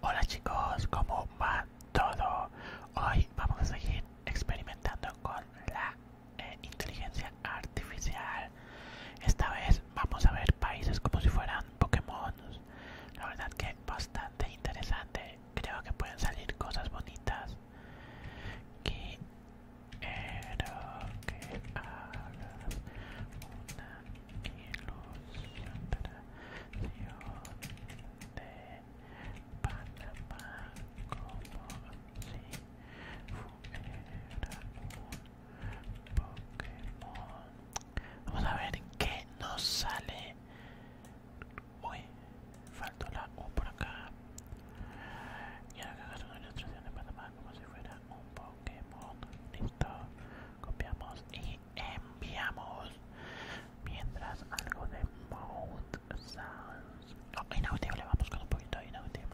Hola chicos, ¿cómo va todo? Hoy vamos a seguir experimentando con la eh, inteligencia artificial. Esta vez vamos a ver países como si fueran Pokémon. La verdad que es bastante interesante. Creo que pueden salir cosas bonitas. que de Panamá como si fuera un Pokémon. Vamos a ver qué nos sale. Uy, faltó la U por acá. Y ahora que hagas una ilustración de Panamá como si fuera un Pokémon. Listo, copiamos y enviamos mientras algo de Mouth Sounds inaudible, vamos con un poquito de inaudible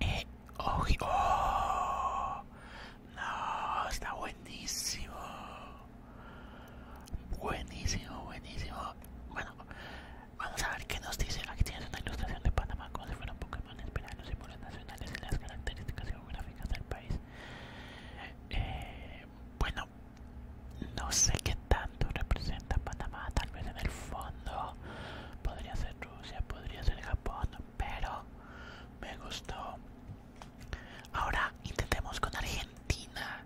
eh, oh, no, está buenísimo. Buenísimo, buenísimo. Bueno, vamos a ver qué nos dice. Aquí tienes una ilustración de Panamá como si fueran Pokémon. Espera los símbolos nacionales y las características geográficas del país. Eh, bueno, no sé qué tal representa Panamá, tal vez en el fondo podría ser Rusia, podría ser Japón, pero me gustó. Ahora intentemos con Argentina.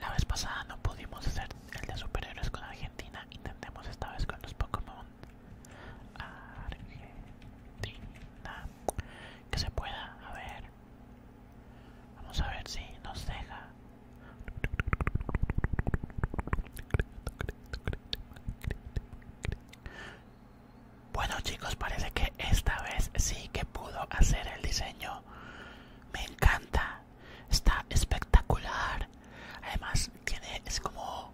La vez pasada no pudimos hacer el de superhéroes con Argentina, intentemos esta vez con los Pokémon. Argentina. Que se pueda, a ver. Vamos a ver si nos deja. Bueno chicos, parece que esta vez sí que pudo hacer el diseño. Me encanta. Está espectacular. Además tiene, es como,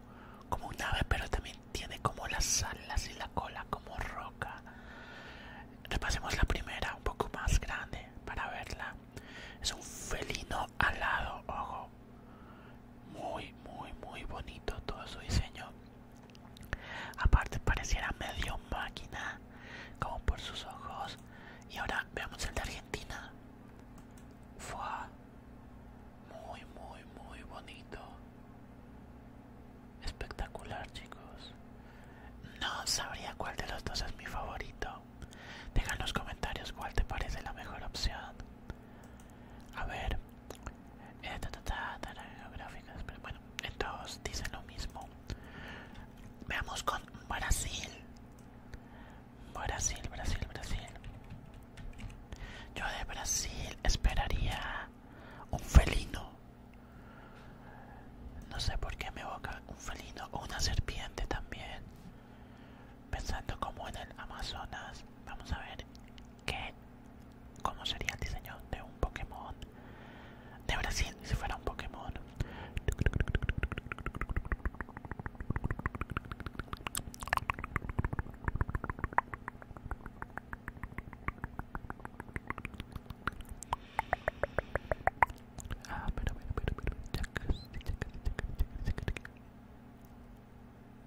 como un ave, pero también tiene como las alas y la cola como roca. Repasemos la primera, un poco más grande, para verla. Es un felino alado, ojo muy muy muy bonito todo su diseño aparte pareciera medio máquina como por sus ojos y ahora veamos el de Argentina muy muy muy bonito espectacular chicos no sabría cuál de los dos es mi favorito dejan en los comentarios cuál te parece la mejor opción. A ver. Eh, bueno, bueno, todos dicen lo mismo. Veamos con Brasil. Brasil, Brasil, Brasil. Yo de Brasil esperaría un felino. No sé por qué me evoca un felino o una serpiente también pensando como en el Amazonas, vamos a ver qué, cómo sería el diseño de un Pokémon de Brasil si fuera un Pokémon.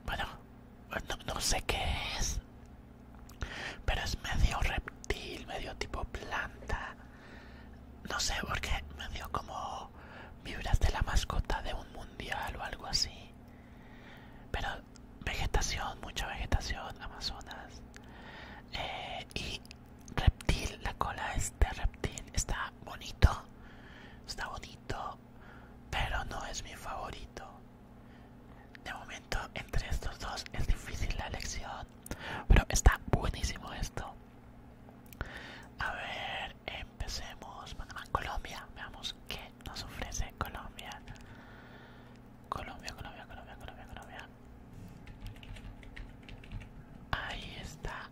Bueno, no, sé qué es. Pero es medio reptil, medio tipo planta. No sé, porque qué, medio como vibras de la mascota de un mundial o algo así. Pero vegetación, mucha vegetación, Amazonas. Eh, y reptil, la cola es de reptil. Está bonito. Está bonito pero no es mi favorito. De momento, entre estos dos es difícil la elección, pero está buenísimo esto. A ver, empecemos. a Colombia. Veamos qué nos ofrece Colombia. Colombia, Colombia, Colombia, Colombia, Colombia. Ahí está.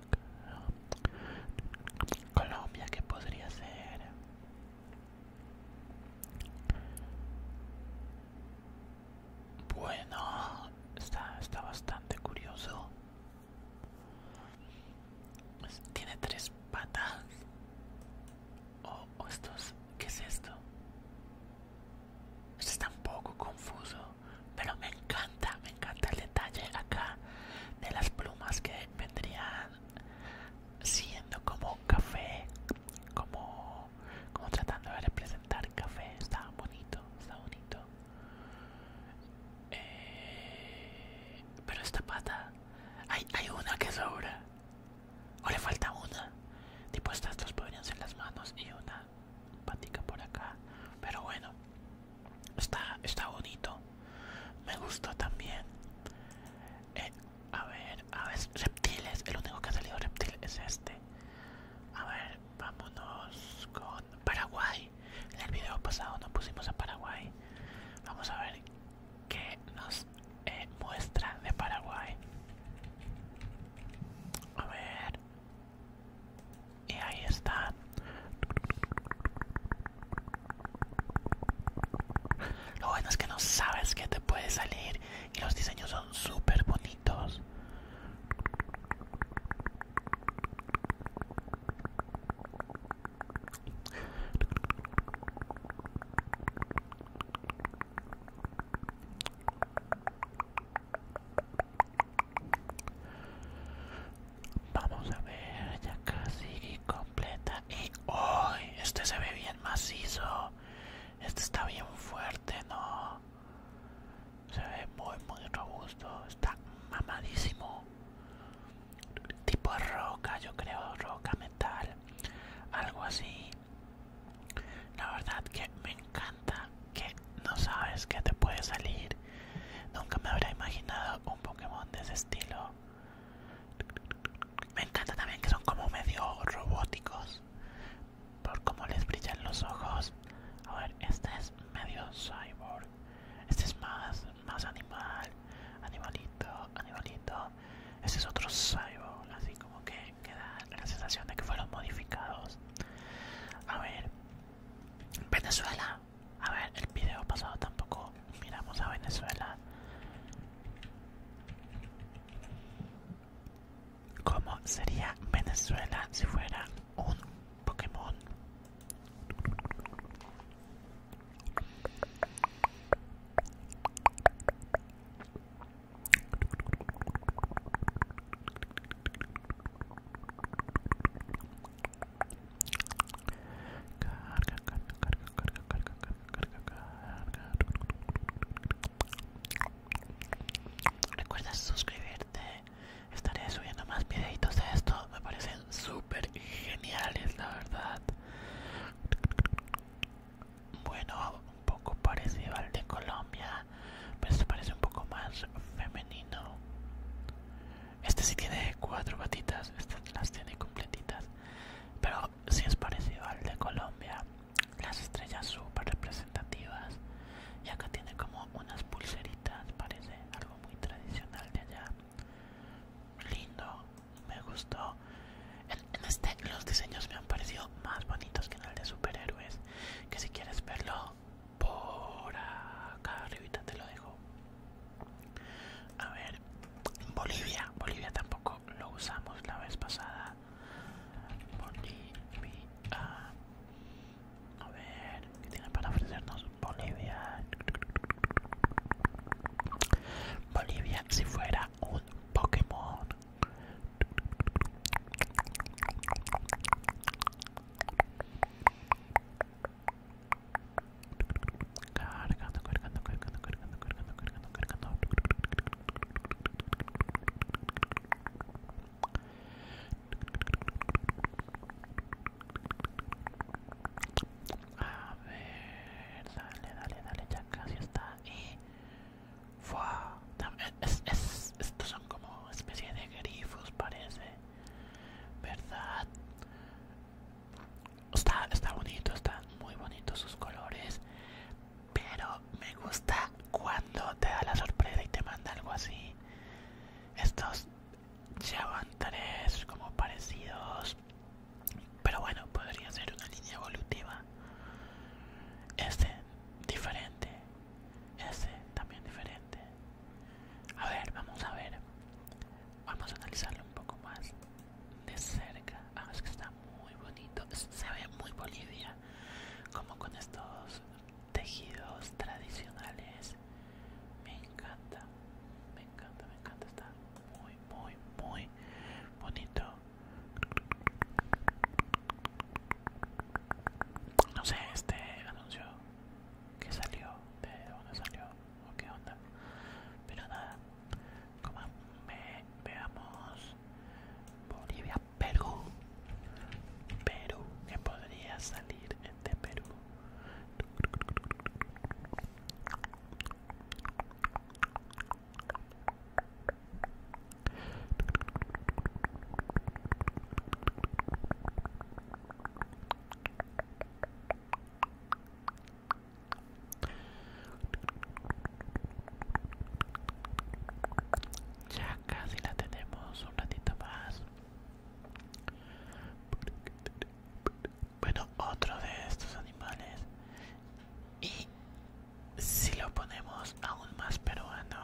Colombia, ¿qué podría ser? Bueno, está, bastante curioso. Tiene tres patas. O, estos, ¿qué es esto? Esto está un poco confuso, pero me encanta me encanta el detalle acá de las plumas que vendrían siendo como café, como, tratando de representar café. Está bonito, está bonito. Eh, pero esta pata, hay, una que sobra. O le falta una. Tipo estas dos podrían ser las manos y una patica por acá. Pero bueno, Está, está bonito. Me gustó también. Eh, a ver, a ver, reptiles. El único que ha salido reptil es este. A ver, vámonos con Paraguay. En el video pasado nos pusimos a Paraguay. Vamos a ver qué nos eh, muestra de Paraguay. A ver. Y ahí está. Lo bueno es que no sabes que te puede salir y los diseños son súper bonitos. Vamos a ver, ya casi completa. Y este se ve bien macizo. Este está bien fuerte, ¿no? Se ve muy, muy robusto. Está mamadísimo. Tipo roca, yo creo, roca metal. Algo así. La verdad que me encanta que no sabes que te puede salir. Nunca me habría imaginado un Pokémon de ese estilo. Me encanta también que son como medio robóticos por cómo les brillan los ojos. A ver, este es medio cyborg. Este es más, más animal. Animalito, animalito. Este es otro cyborg, así como que, que da la sensación de que fueron modificados. A ver, Venezuela. A ver, el video pasado tampoco miramos a Venezuela ¿Cómo sería Venezuela si fuera un Pokémon? Carga, Recuerda suscribirte. Estaré subiendo más videitos de esto. Me parecen súper geniales, la verdad. Bueno, un poco parecido al de Colombia, pero se parece un poco más femenino. Este sí tiene cuatro patitas, estas las tiene completitas. Pero sí es parecido al de Colombia. Las estrellas súper representativas. Y acá tiene como unas pulseritas, parece algo muy tradicional de allá. Lindo, me gustó. En, este los diseños me han parecido más bonitos que en el de superhéroes. Que si quieres verlo por acá arribita te lo dejo. A ver, Bolivia, Bolivia tampoco lo usamos la vez pasada. Bolivia. A ver, ¿qué tiene para ofrecernos Bolivia? Bolivia, si fuera un Pokémon. Cargando, cargando, cargando, cargando, cargando, cargando, cargando. A ver, dale, dale, dale, ya casi está. Y. Es, estos son como especie de grifos, parece. ¿Verdad? Está, bonito, están muy bonitos sus colores. Pero me gusta cuando te da la sorpresa y te manda algo así. Estos ya van tres como parecidos. Pero bueno, podría ser una línea evolutiva. Este diferente. Este también diferente. A ver, vamos a ver. Vamos a analizarlo un poco más de cerca. Ah, es que está muy bonito. Se ve muy Bolivia, como con estos tejidos tradicionales. Me encanta, me encanta, me encanta. Está muy, muy, muy bonito. No sé, este anuncio que salió, de dónde salió o qué onda, pero nada, como veamos Bolivia, Perú. Perú, que podría salir de este Perú. Ya casi la tenemos un ratito más. Bueno, otro de estos animales. Y si lo ponemos aún más peruano,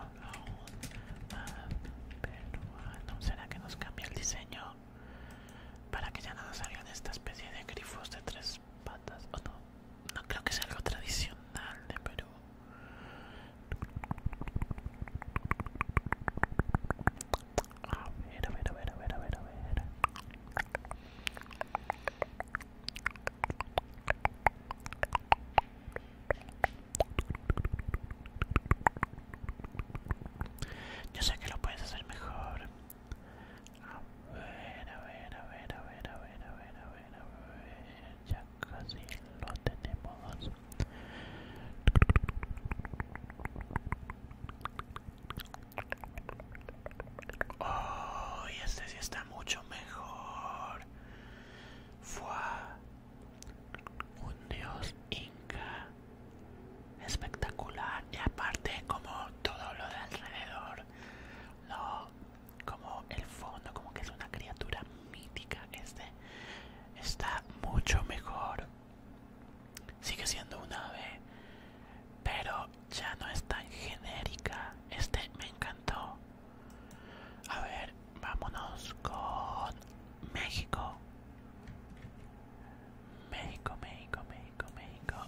aún ¿será que nos cambia el diseño? para que ya no salgan esta especie de grifos de tres patas o no no creo que sea algo tradicional de eh, Perú ver a ver a ver a ver a ver a ver yo sé que lo puedes hacer mejor ver, a ver, a ver, a ver, a ver, a ver, a ver, a ver, ya casi lo tenemos. Oh, y este sí está mucho mejor. Fua, un dios inca espectacular y aparte como todo lo de alrededor no como el fondo como que es una criatura mítica este está mucho mejor sigue siendo un ave pero ya no es tan genérica este me encantó a ver vámonos con México México, México, México, México.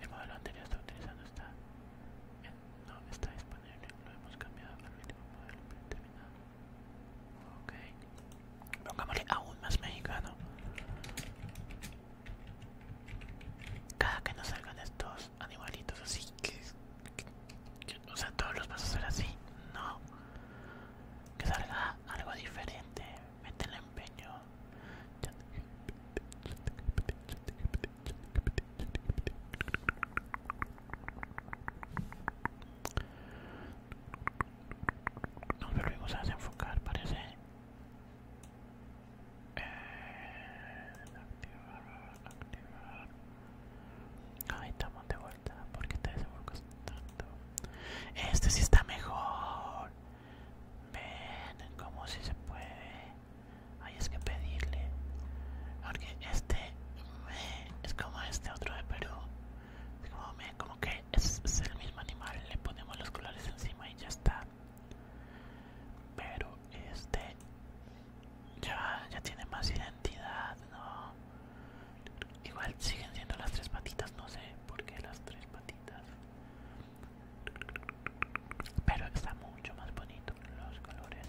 El modelo anterior está utilizando esta eh, no está disponible, lo hemos cambiado al último modelo predeterminado. Ok, pongámosle aún más mexicano. Cada que nos salgan estos animalitos así, que, o sea, todos los vas a hacer así, no, que salga algo diferente mete el empeño. No, pero a desenfocar, enfocar, parece. Eh, activar, activar. Ahí estamos de vuelta. ¿Por qué te este desenfocas tanto? Este sí está mejor. Ven, como si se puede. Hay es que pedirle. Porque este eh, es como este otro de Perú. como, que es, el mismo animal. Le ponemos los colores encima y ya está. Pero este ya, ya tiene más identidad, ¿no? Igual siguen siendo las tres patitas, no sé por qué las tres patitas. Pero está mucho más bonito los colores.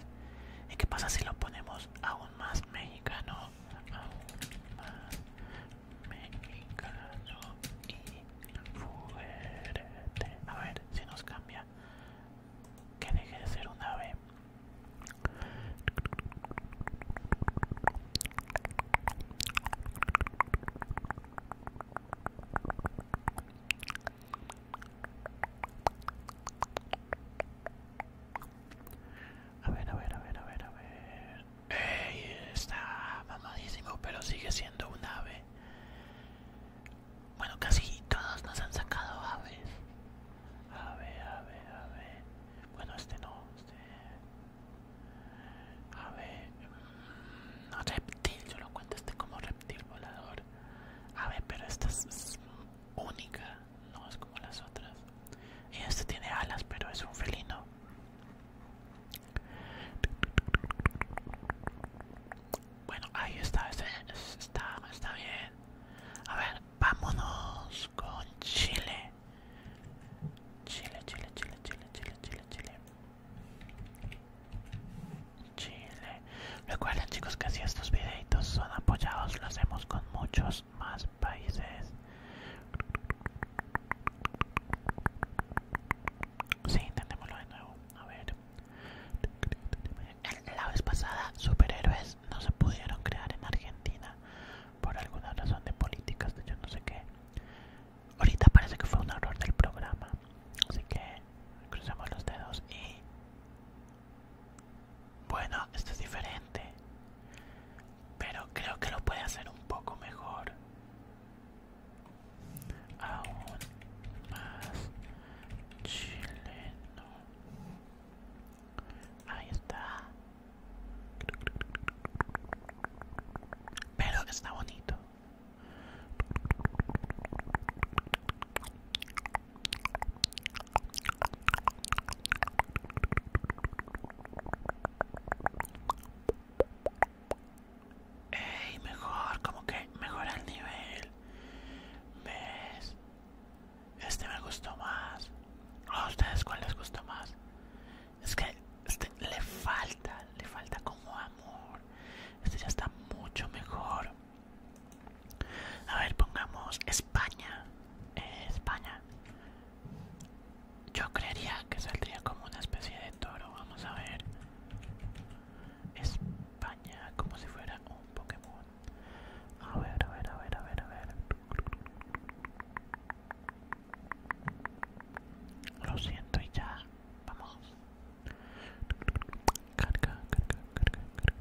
¿Y qué pasa si lo ponemos aún más mexicano? Aún más mexicano y fuerte. A ver si nos cambia. Que deje de ser un ave. A ver, a ver, a ver, a ver, a ver. ¡Ey! Está mamadísimo, pero sigue siendo un ave. Bueno, casi todos nos han sacado aves. A ver, a ver, a ver. Bueno, este no, este. A ver, mm, reptil, yo lo cuento este como reptil volador. A ver, pero esta es, única, no es como las otras. Y este tiene alas, pero es un felino. Bueno, ahí está, está, está bien. A ver, vámonos con Chile. Chile, Chile, Chile, Chile, Chile, Chile, Chile. Chile. Recuerden chicos que si estos videitos son apoyados, lo hacemos con muchos más países. Sí, intentémoslo de nuevo. A ver. La vez pasada, superhéroes no se pudieron crear en Argentina por alguna razón de políticas de yo no sé qué. Ahorita parece que fue un error del programa. Así que cruzamos los dedos y... Bueno, esto es diferente. Pero creo que lo puede hacer un poco mejor. Aún más chileno. Ahí está pero está bonito Ey, mejor, como que mejora el nivel. ¿Ves? Este me gustó más. ¿A ustedes cuál les gustó más? Es que este, le falta, le falta como amor. Este ya está mucho mejor. A ver, pongamos España. Eh, España. Yo creería que saldría como una especie de toro. Vamos a ver. España, como si fuera un Pokémon. A ver, a ver, a ver, a ver, a ver. Lo siento y ya, vamos. Carga, carga, carga, carga,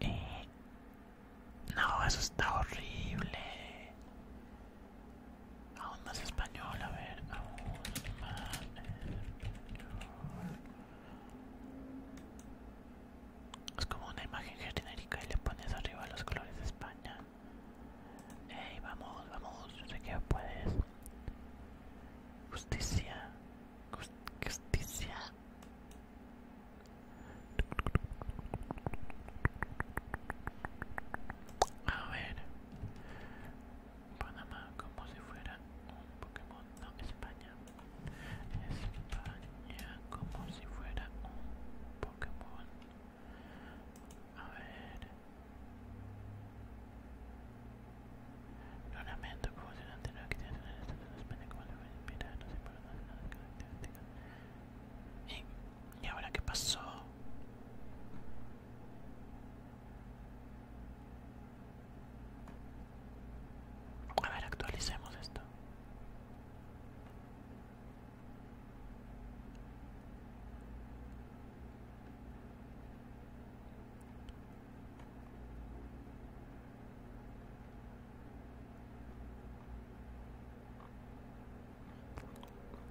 eh, no, eso está horrible. Aún más español, a ver, es como una imagen genérica y le pones arriba los colores de España. Ey, vamos, vamos, yo sé que puedes. Justicia, justicia. A ver, Panamá como si fuera un Pokémon, no, España. España como si fuera un Pokémon. A ver. Lo lamento como si no que tiene el estado de España como si a inspirado, no se por nada. características. ¿Y, ¿Y ahora qué pasó? A ver, actualicemos esto.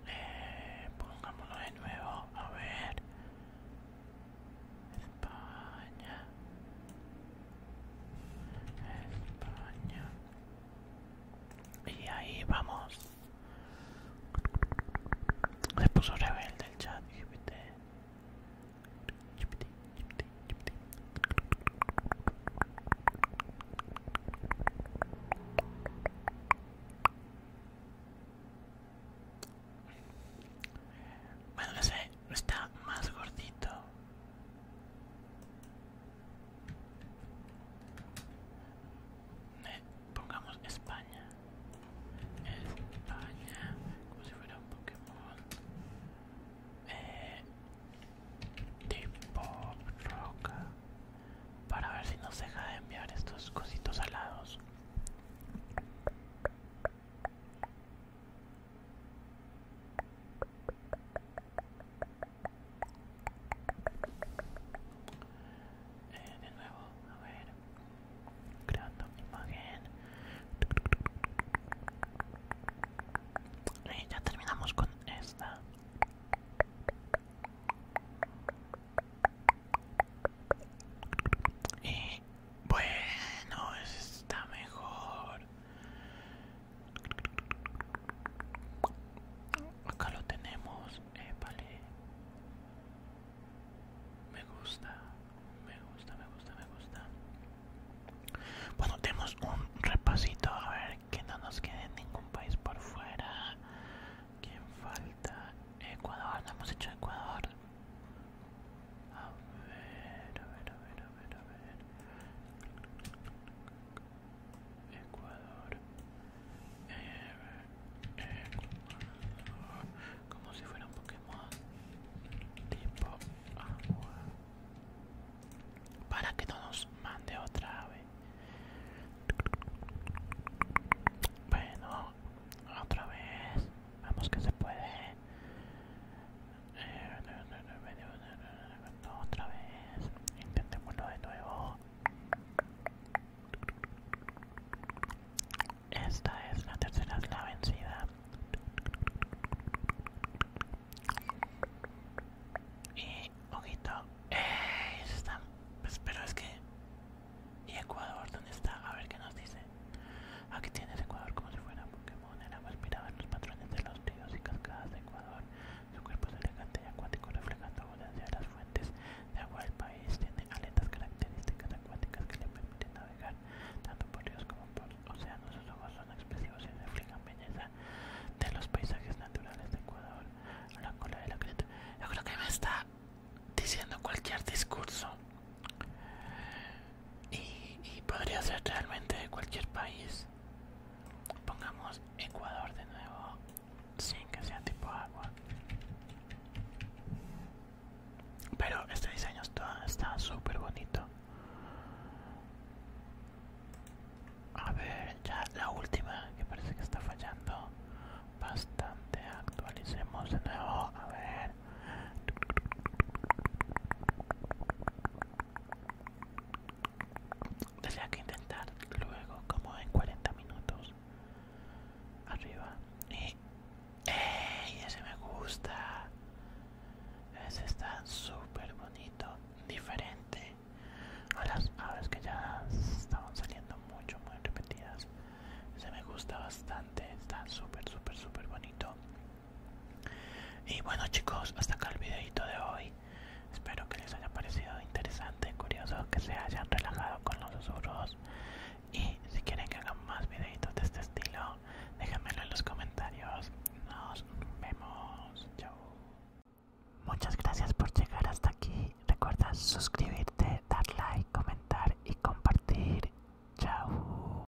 Eh, pongámoslo de nuevo, a ver. España, España. Y ahí vamos. Se puso rebelde el chat. Bueno, no está más gordito. Eh, pongamos España. España, como si fuera un Pokémon. Eh, tipo roca. Para ver si nos deja de enviar estos cositos alados. Eh, de nuevo, a ver, creando mi imagen. Y ya terminamos con esta. Y eh, bueno, está mejor. Acá lo tenemos, Me gusta, me gusta, me gusta, me gusta. Bueno, tenemos un repasito a ver que no nos quede ningún país por fuera. ¿Quién falta? Ecuador, no hemos hecho Ecuador. A ver, a ver, a ver, a ver, a ver. Ecuador. Ecuador. Como si fuera un Pokémon. Tipo agua. Para que no nos mande otra vez. Bueno, otra vez. Vamos que se puede. Otra vez, intentémoslo de nuevo. Esta es la tercera, es la vencida. Y ojito, pero es que. ¿Y Ecuador dónde está? A ver qué nos dice. Aquí tienes Ecuador como si fuera un Pokémon. El agua mirada en los patrones de los ríos y cascadas de Ecuador. Su cuerpo es elegante y acuático, reflejando abundancia de las fuentes de agua del país. Tiene aletas características acuáticas que le permiten navegar tanto por ríos como por océanos. Sus ojos son expresivos y reflejan belleza de los paisajes naturales de Ecuador. La cola de la criatura Yo creo que me está diciendo cualquier discurso y, podría ser realmente cualquier país pongamos Ecuador de nuevo sin que sea tipo agua pero este diseño está súper bonito a ver ya la última que parece que está fallando bastante actualicemos de nuevo a ver Tendría que intentar luego, como en 40 minutos. Arriba. Y. ¡Ey! Ese me gusta. Ese está súper bonito. Diferente a las aves que ya estaban saliendo mucho, muy repetidas. Ese me gusta bastante. Está súper, súper, súper bonito. Y bueno chicos, hasta acá el videito de hoy. Espero que les haya parecido interesante, curioso, que se hayan relajado con los susurros. Y si quieren que hagan más videitos de este estilo, déjenmelo en los comentarios. Nos vemos. Chao. Muchas gracias por llegar hasta aquí. Recuerda suscribirte, dar like, comentar y compartir. Chao.